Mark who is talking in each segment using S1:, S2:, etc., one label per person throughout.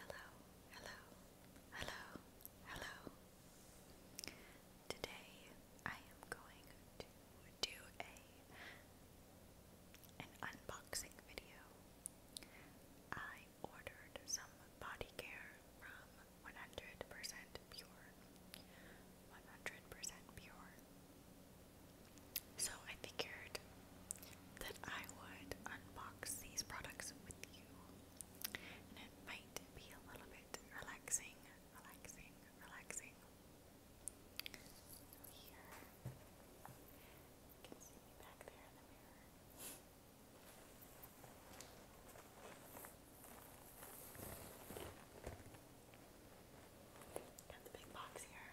S1: Hello, hello, hello, hello. Today I am going to do a an unboxing video. I ordered some body care from 100% Pure. 100% Pure. So I figured that I would unbox these products with you. And it might be a little bit relaxing, relaxing, relaxing. Here. can see back there in the mirror. Got the big box here.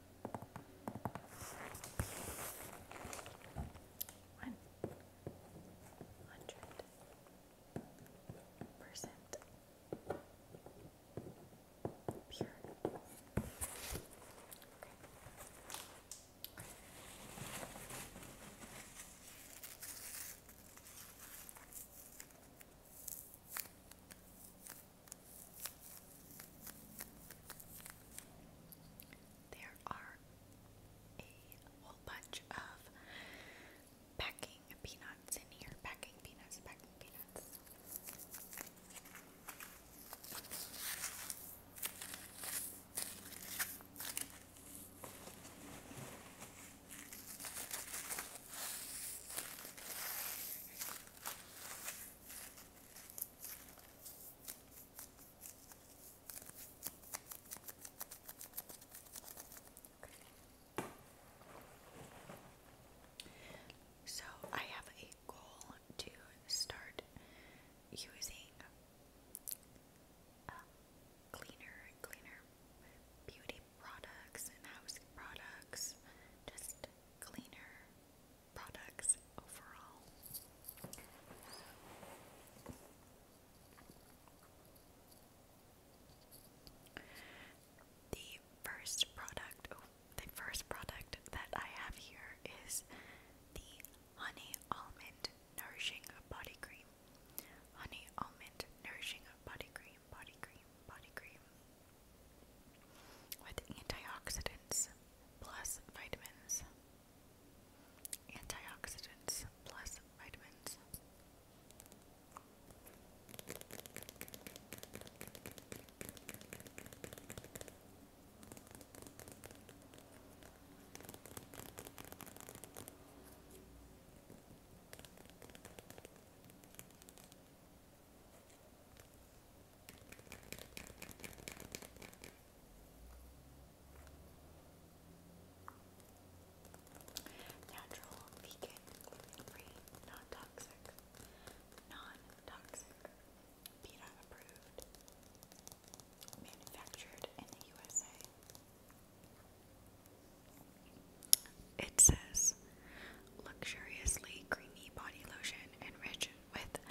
S1: One hundred percent pure. Okay. There are a whole bunch of packing peanuts in here. Packing peanuts, packing peanuts. Okay. So, I have a goal to start using uh, cleaner cleaner beauty products and house products. Just cleaner products overall. The first product, oh, the first product that I have here is the Honey Almond Nourishing Body Cream. Honey Almond Nourishing Body Cream, Body Cream, Body Cream with antioxidants plus vitamins. Antioxidants plus vitamins. Natural, vegan, gluten-free, non-toxic, non-toxic, PETA approved, manufactured in the USA. It says luxuriously creamy body lotion enriched with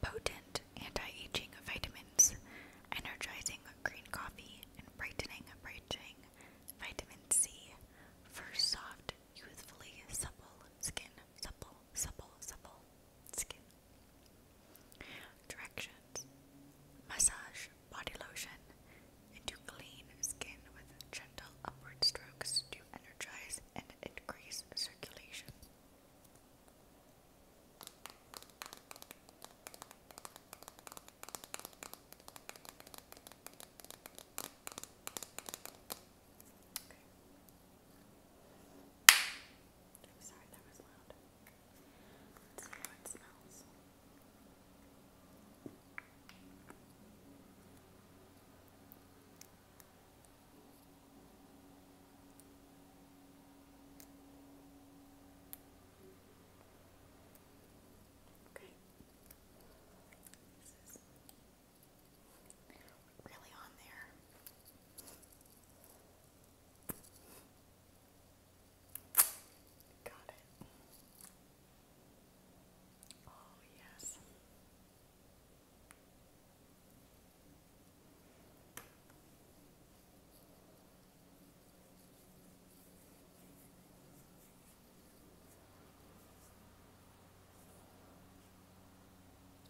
S1: potent anti-aging vitamins, energizing green coffee, and brightening brightening vitamin C for soft, youthfully supple skin. Supple, supple, supple skin. Directions. Massage body lotion and to clean skin with gentle upward strokes to energize and increase circulation. Okay. sorry that was loud. it smells. Okay. This is really on there. Got it. Oh, yes.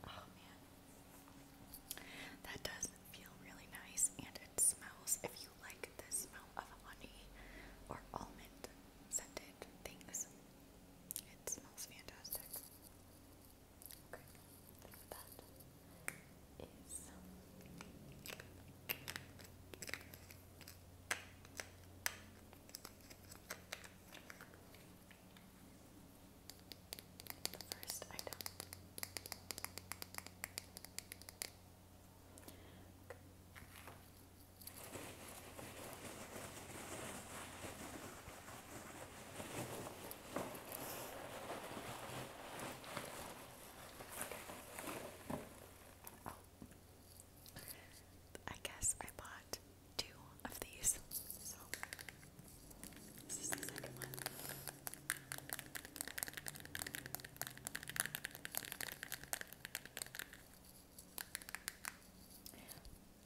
S1: Oh man. That does feel really nice and it smells if you you like the smell of honey or almond scented things. It smells fantastic. Okay, that is the first item. Okay. Oh. I guess I bought two of these. So this is the second one.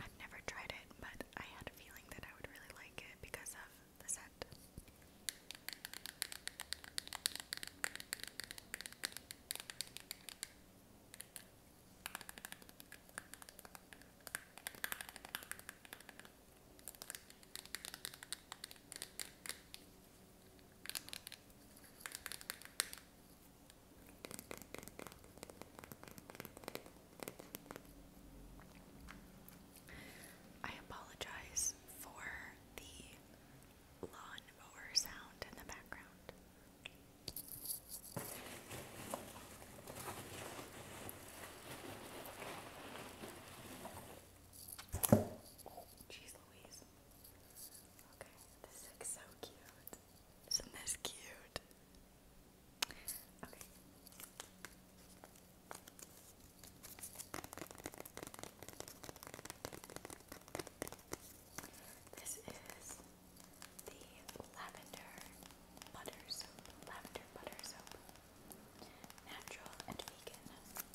S1: I've never tried it, but I had a feeling that I would really like it because of the scent. I apologize for the lawn sound in the background. Jeez Louise. Okay, this is so cute. Isn't this cute? Okay. This is the lavender butter soap, lavender butter soap, natural and vegan.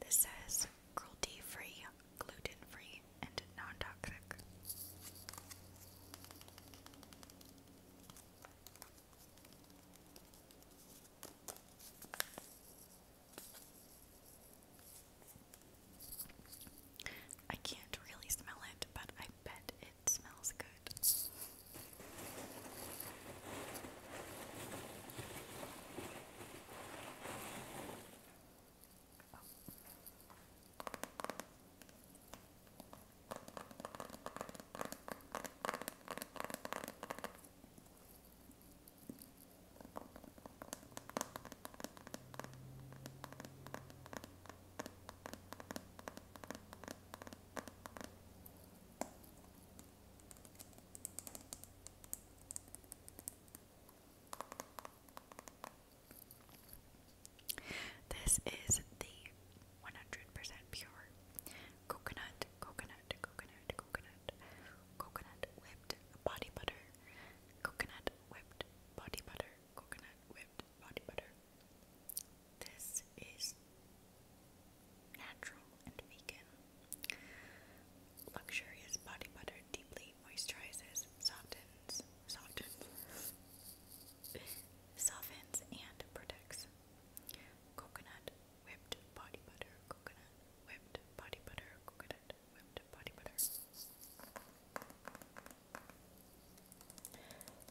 S1: This says cruelty free, gluten free, and non toxic. I can't really smell it, but I bet it smells good. This is the 100% pure coconut, coconut, coconut, coconut, coconut whipped body butter, coconut whipped body butter, coconut whipped body butter. This is natural and vegan. Luxurious body butter deeply moisturizes, softens, softens, softens and protects. Coconut whipped body butter, coconut whipped body butter, coconut whipped body butter.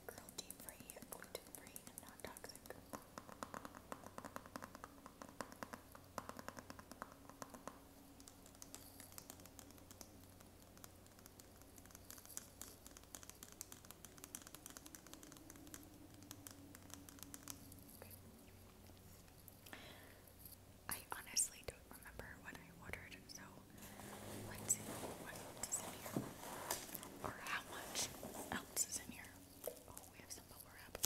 S1: Girl deep free, gluten free, and non toxic. Okay. I honestly don't remember what I ordered, so let in here. Or how much else in here. Oh, we have some bubble wrap.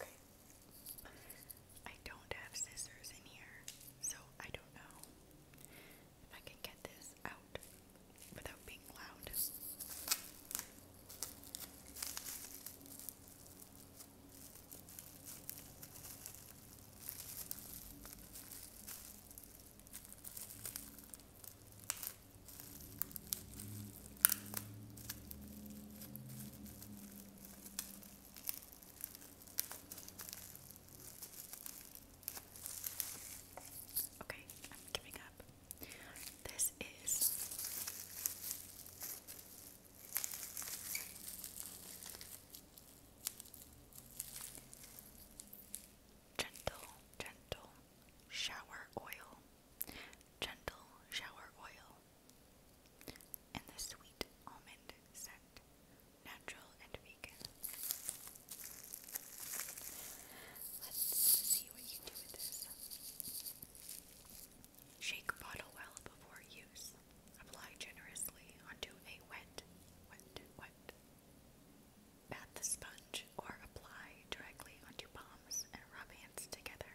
S1: Okay. I don't have scissors in here, so I don't know if I can get this out without being loud. Okay, I'm giving up. This is Gentle, gentle shower oil. Gentle shower oil. And the sweet almond scent. Natural and vegan. Let's see what you do with this. Shake bottle well before use. Apply generously onto a wet, wet, wet Pat the sponge or apply directly onto palms and rub hands together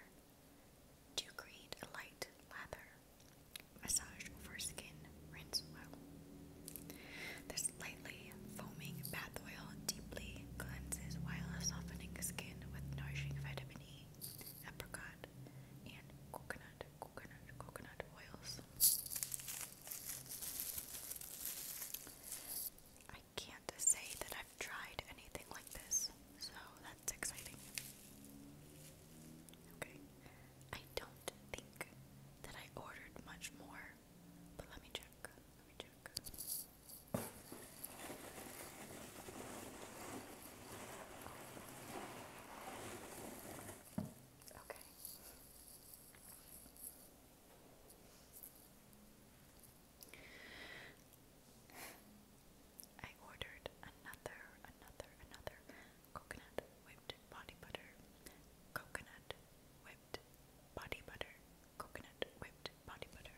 S1: to create a light lather. Massage over skin, rinse well. This lightly foaming bath oil deeply cleanses while softening skin with nourishing vitamin E, apricot, and coconut, coconut, coconut oils. I can't say that I've tried anything like this, so that's exciting. Okay, I don't think that I ordered much more, but let me check. Let me check. Okay. I ordered another, another, another coconut whipped body butter, coconut whipped body butter, coconut whipped body butter.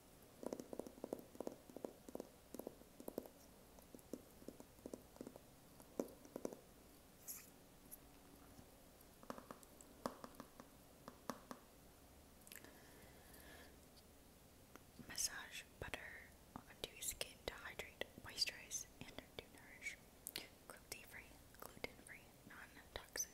S1: Massage butter onto your skin to hydrate, moisturize, and to nourish. Cruelty free, gluten free, non toxic,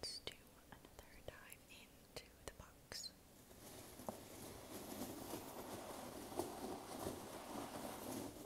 S1: Let's do another dive into the box.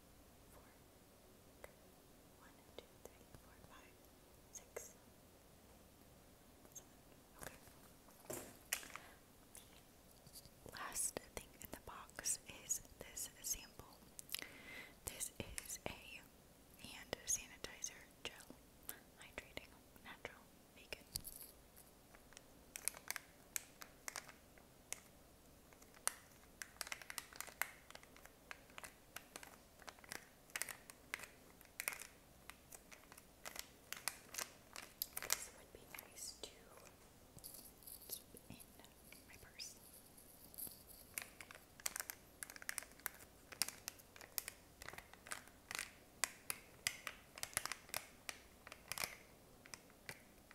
S1: four, one, two, three, four, five, six, seven. Okay. Last thing in the box is this sample. This is a hand sanitizer gel, hydrating, natural, vegan. This would be nice to keep in my purse. Okay,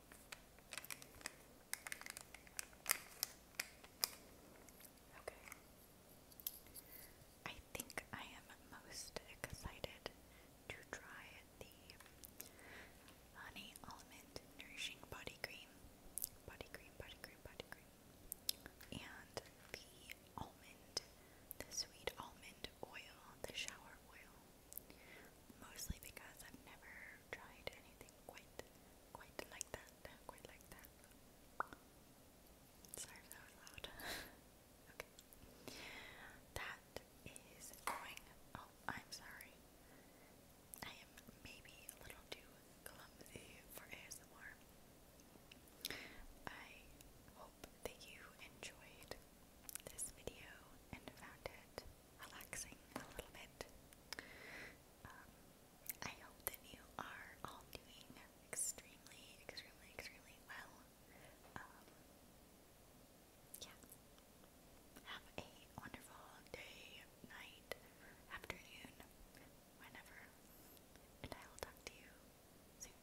S1: Okay. I think I am most excited to try the Honey Almond Nourishing Body Cream. Body cream, body cream, body cream. And the almond, the sweet almond oil, the shower oil. Mostly because I've never tried anything quite quite like that. Quite like that. Sorry if that loud. okay. That is going oh, I'm sorry. I am maybe a little too clumsy for ASMR. I hope that you enjoyed this video and found it relaxing a little bit. Um, I hope that you are all doing extremely, extremely, extremely well. Um, yeah. Have a wonderful day, night, afternoon, whenever, and I will talk to you soon.